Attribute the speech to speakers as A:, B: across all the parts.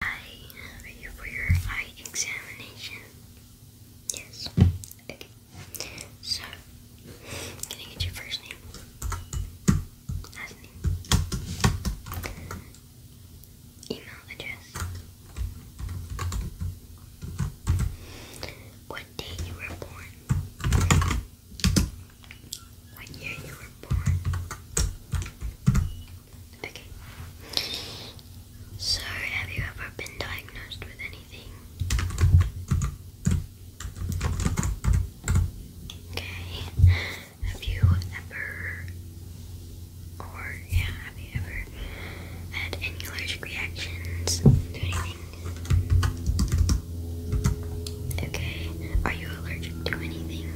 A: I are you for your eye examination? Yes. Okay. So can I get your first name? Last name. Email address. What day you were born? What year you were born? So, have you ever been diagnosed with anything? Okay. Have you ever, or yeah, have you ever had any allergic reactions to anything? Okay, are you allergic to anything?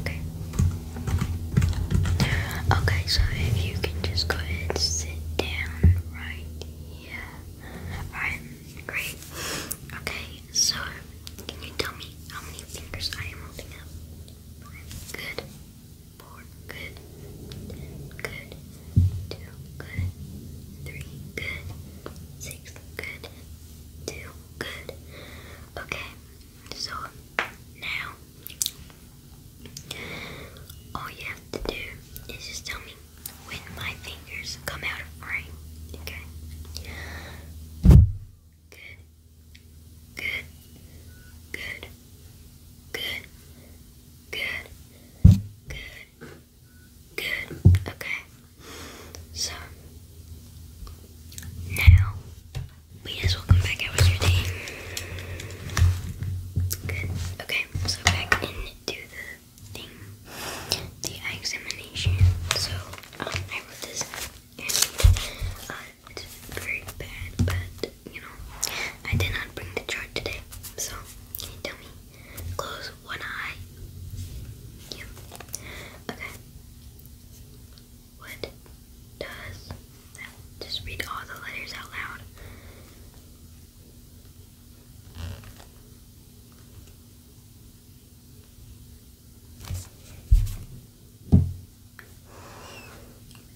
A: Okay. Okay, so if you can just go ahead and sit down right here. Alright, great. Okay, so can you tell me how many fingers I am holding up? Good four, good, good, two, good, three, good, six, good, two, good. Okay, so now all you have to do is just tell me when my fingers come out of frame. Okay. Good. Good. Good. Good. Good. Good. Good. Okay. So now we just will come back out your day. Good. Okay, so back into the thing. The eye examination. So um, I wrote this it's very bad, but you know, I did
B: not bring the chart today, so can you tell me? Close one eye. Okay. What does that? Just read all the letters out loud.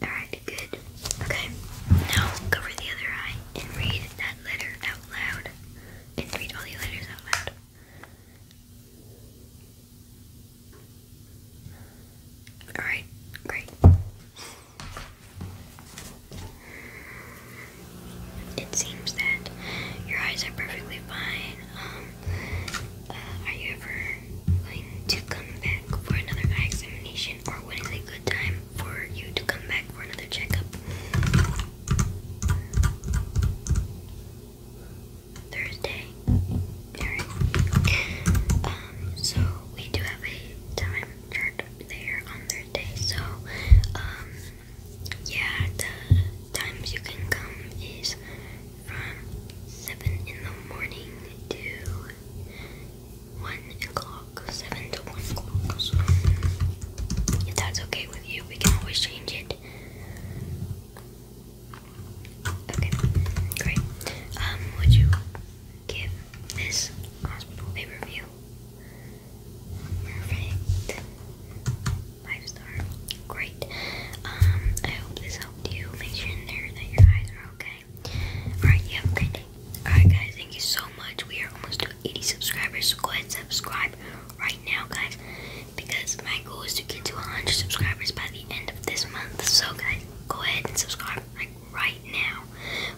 B: Alright, good. Okay, now cover the other eye and read that letter out loud. And read all the letters out loud. Alright, great it seems that your eyes are perfectly fine. Um,
C: uh, are you ever going to come back for another eye examination, or when is a good time for you to come back for another checkup? Thursday. Alright. Um, so we do have a time chart there on Thursday, so um, yeah, the times you can come is from 7 in the morning to 1 o'clock, 7 to 1 o'clock. if that's okay with you, we can always change it. Okay, great. Um, would you give this hospital a review. Perfect. Five star.
B: Great. Um, I hope this helped you. Make sure there that your eyes are okay. Alright, you have a great day. Alright guys, thank you so much. We are almost to 80 subscribers, go ahead subscribe right now guys. Because my goal is to get to 100 subscribers by the end of this month. So guys, go ahead and subscribe right now.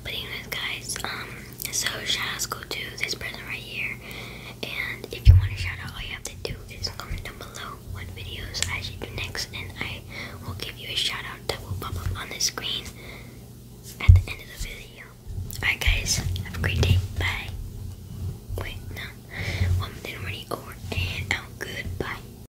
B: But anyways, guys, um, so shout out go to this person right here.
A: And if you want to shout out, all you have to do is comment down below what videos I should do next, and I will give you a shout out that will pop up on the screen at the end of the video. Alright, guys, have a great day. Bye. Wait, no. One minute already over and out. Goodbye.